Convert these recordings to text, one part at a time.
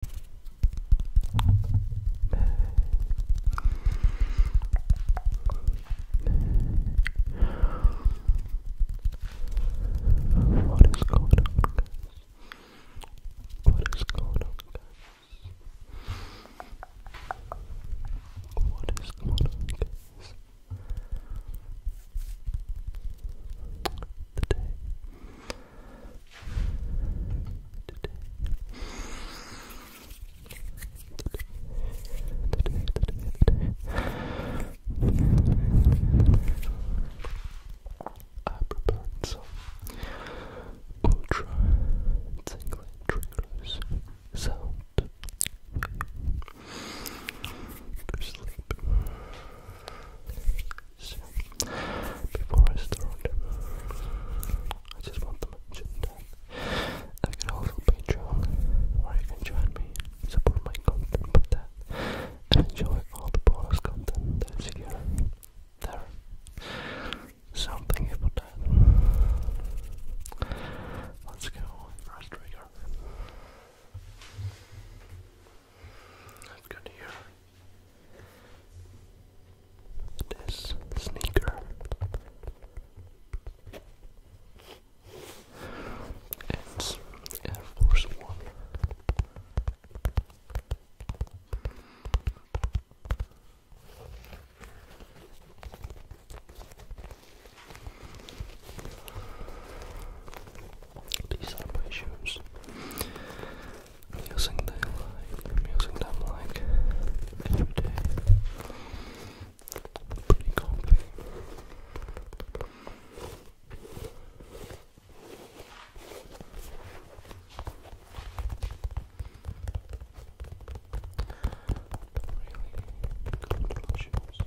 What is going on, What is going on, What is going on, guys? Today today. Today, today, I prepared some tingling triggers sound sleep. So, before I start, I just want to mention that I can also Patreon where you can join me, support my content with that, enjoy all the bonus content There. So thank that. Let's go, first trigger. I've got here this sneaker. It's Air Force One. These are my shoes. I'm using them like, using them like every day. Pretty comfy. Really comfortable shoes.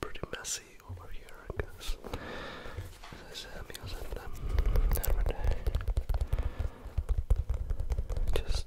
Pretty messy over here, I guess. As I them Just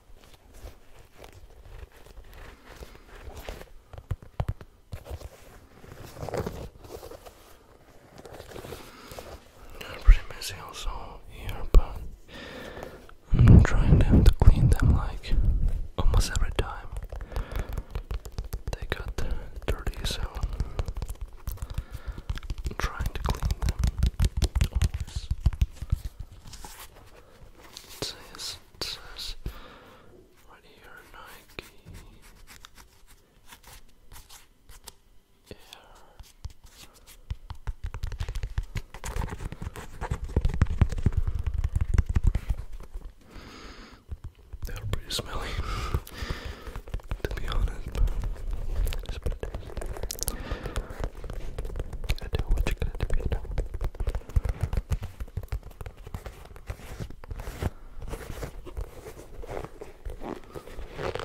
They're pretty here, but I'm trying them to clean them like almost every time. They got dirty, so trying to clean them it says, it says right here Nike Air. They're pretty smelly, to be honest. But you gotta do what you gotta do, you know. Okay,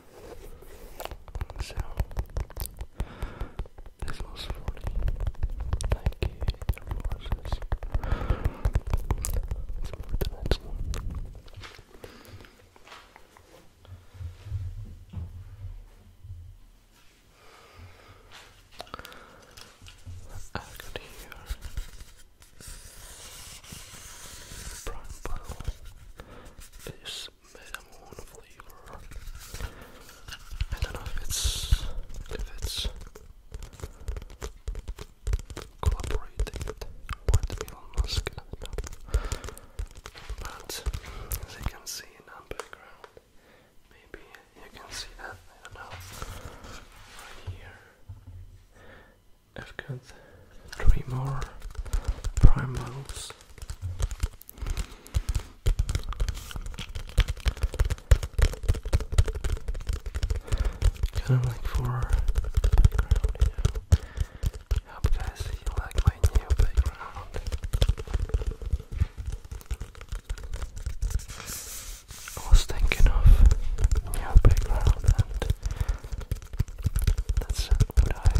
So this was funny. Thank you Let's move to the next one. I could hear Brian Buttle cinnamon flavor. I don't know if it's if it's collaborating with Elon Musk. But as you can see in the background, maybe you can see that. I don't know. Right here, I've got three more primals. Kind of like for background, you guys like my new background. I was thinking of new background and that's what I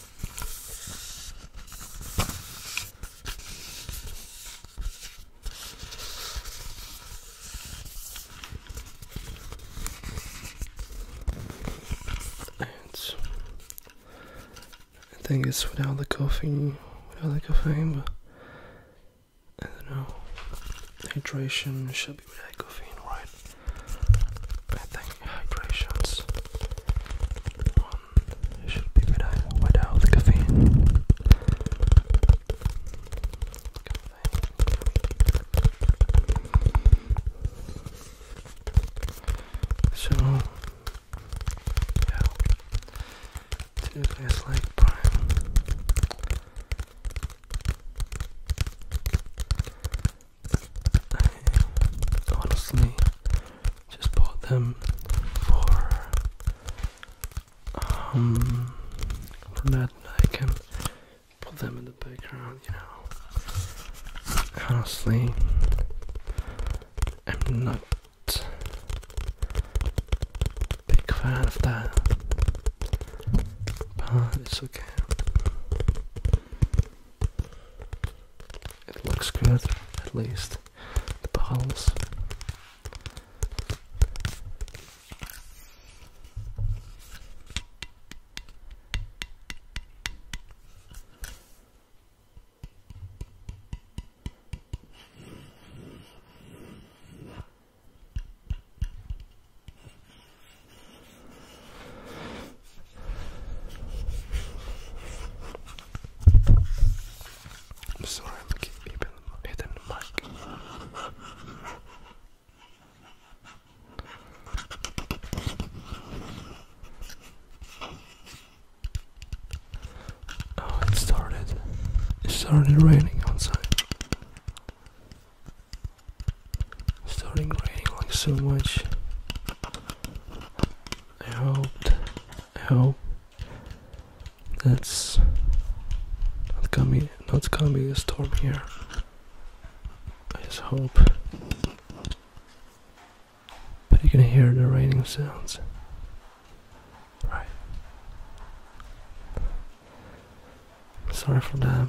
I think it's without the caffeine. without the caffeine, but I don't know. Hydration should be without caffeine, right? I think hydration's should be without, without caffeine. So, yeah, Tuesday is like prime. I honestly just bought them for um, that I can put them in the background, you know. Honestly I'm not big fan of that. But it's okay. It looks good, at least. The pulse. I'm sorry, I'm keeping hitting the mic. Oh, it started. It started raining outside. starting raining like so much. I hope, I hope that's not coming, not be a storm here. I just hope. But you can hear the raining sounds. Right. Sorry for that.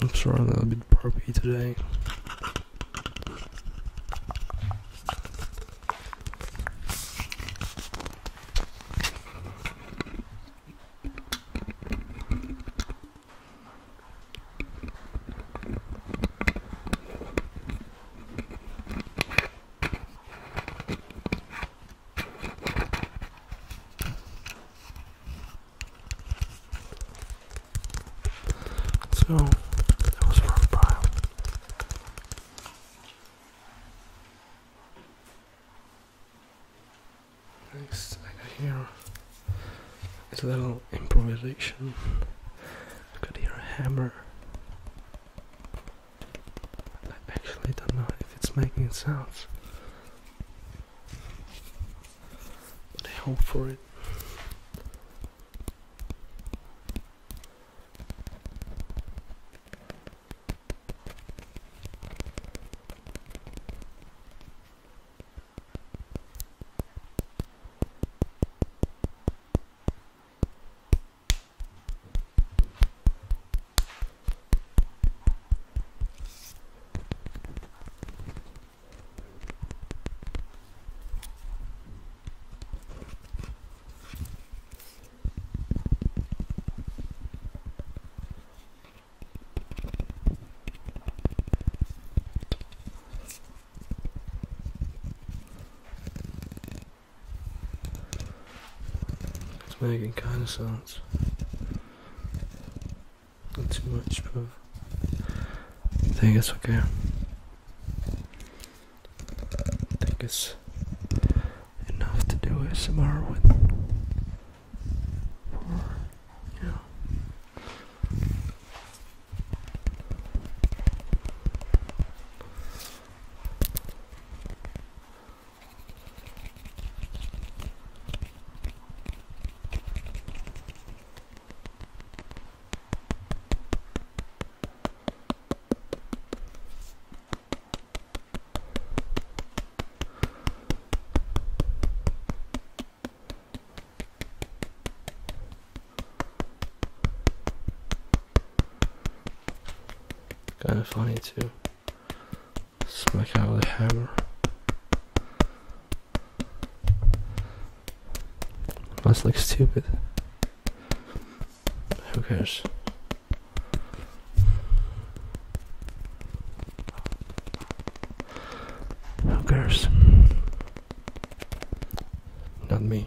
I'm sorry, I'm a bit burpy today. So that was from Next, I got here is a little improvisation. I got here a hammer. I actually don't know if it's making sounds. But I hope for it. It's making kind of sense. Not too much, but I think it's okay. I think it's enough to do S M R with. Kinda funny too. Smack out the hammer. Must look stupid. Who cares? Who cares? Not me.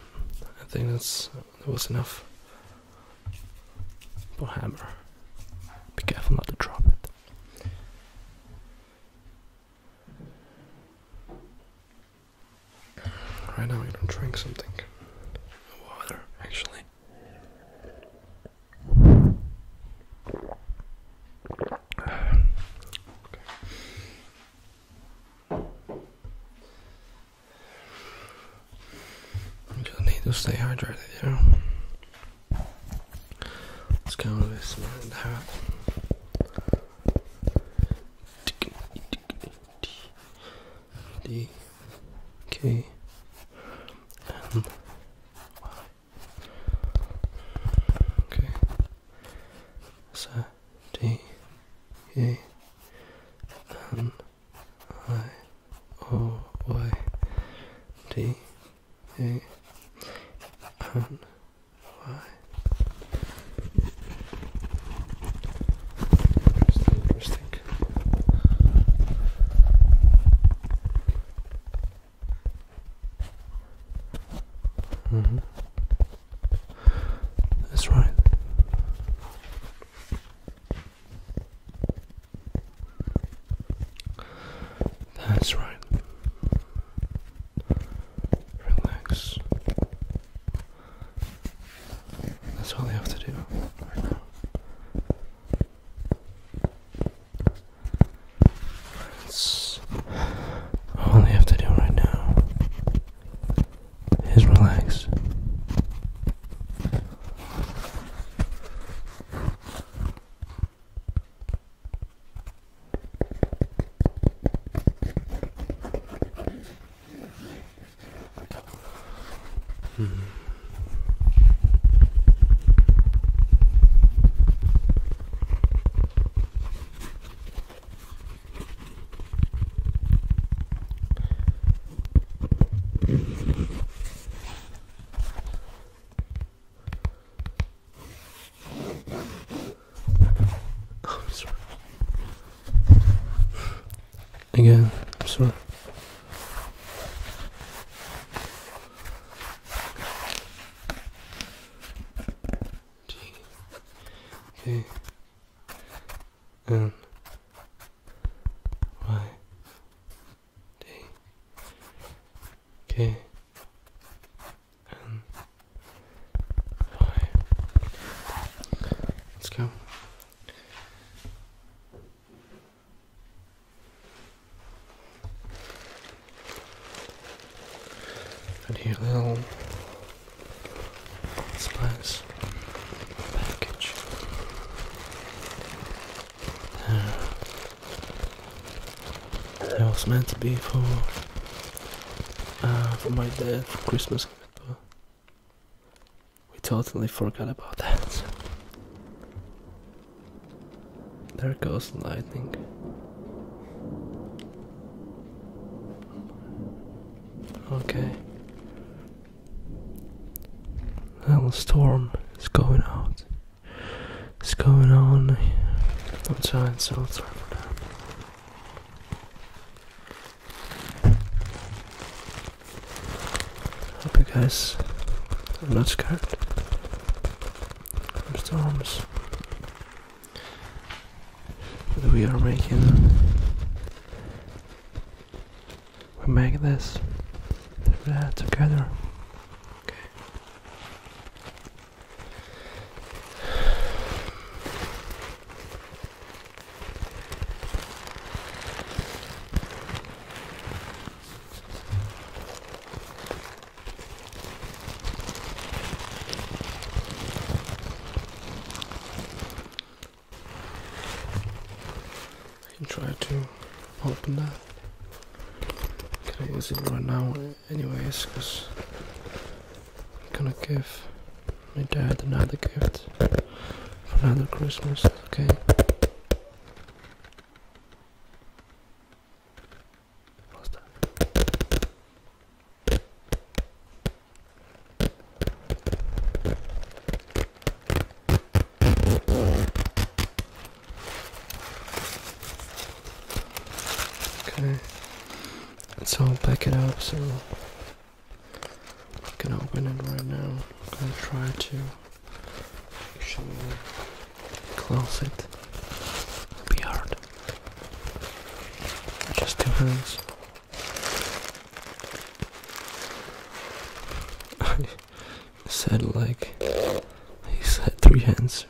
I think that's that was enough. But hammer. Be careful not to drop it. Right now, I'm going drink something. Water, actually. You just need to stay hydrated, Yeah. know? It's kind of this man hat. D K M Y Okay. So D E N I O Y D E N Y Interesting, interesting. Mm mm-hmm. That's right. That's right. Relax. That's all I have to do right now. That's all you have to do right now is relaxed. -hmm. I'm Again, sorry. Okay. N Y D K N Y. Let's go. Put your little Supplies. Package. There. Uh, that was meant to be for uh, for my dad for Christmas, but we totally forgot about that. There goes lightning. Okay. Little storm is going out. It's going on. I'm trying so sorry for Hope you guys are not scared from storms we are making. We make this together. Okay and try to open that. Can I use it right now, anyways? Because I'm gonna give my dad another gift for another Christmas, okay? What's that? Okay, let's all pick it up. So I'm gonna open it right now. I'm gonna try to actually close it. be hard. Just two hands. I said like he said three hands.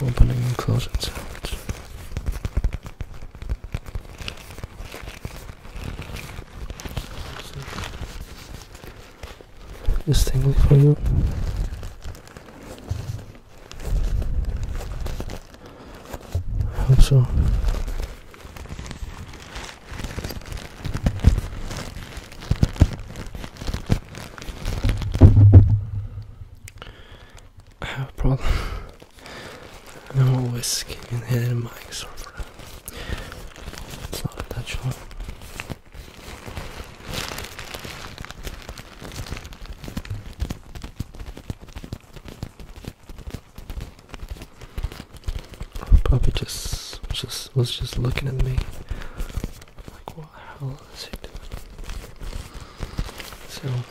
Opening and closing sounds this thing for you. I hope so. I have a problem. I'm always will whisk and hit in my server. It's not a touch one. Puppy just just was just looking at me. Like what the hell is he doing? So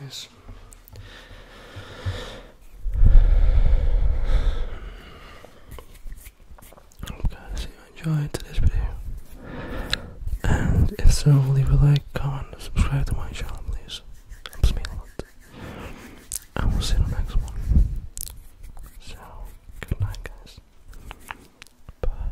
Yes. Okay, so you enjoyed today's video. And if so, leave a like, comment, subscribe to my channel, please. helps me a lot. And will see the next one. So, good night, guys. Bye.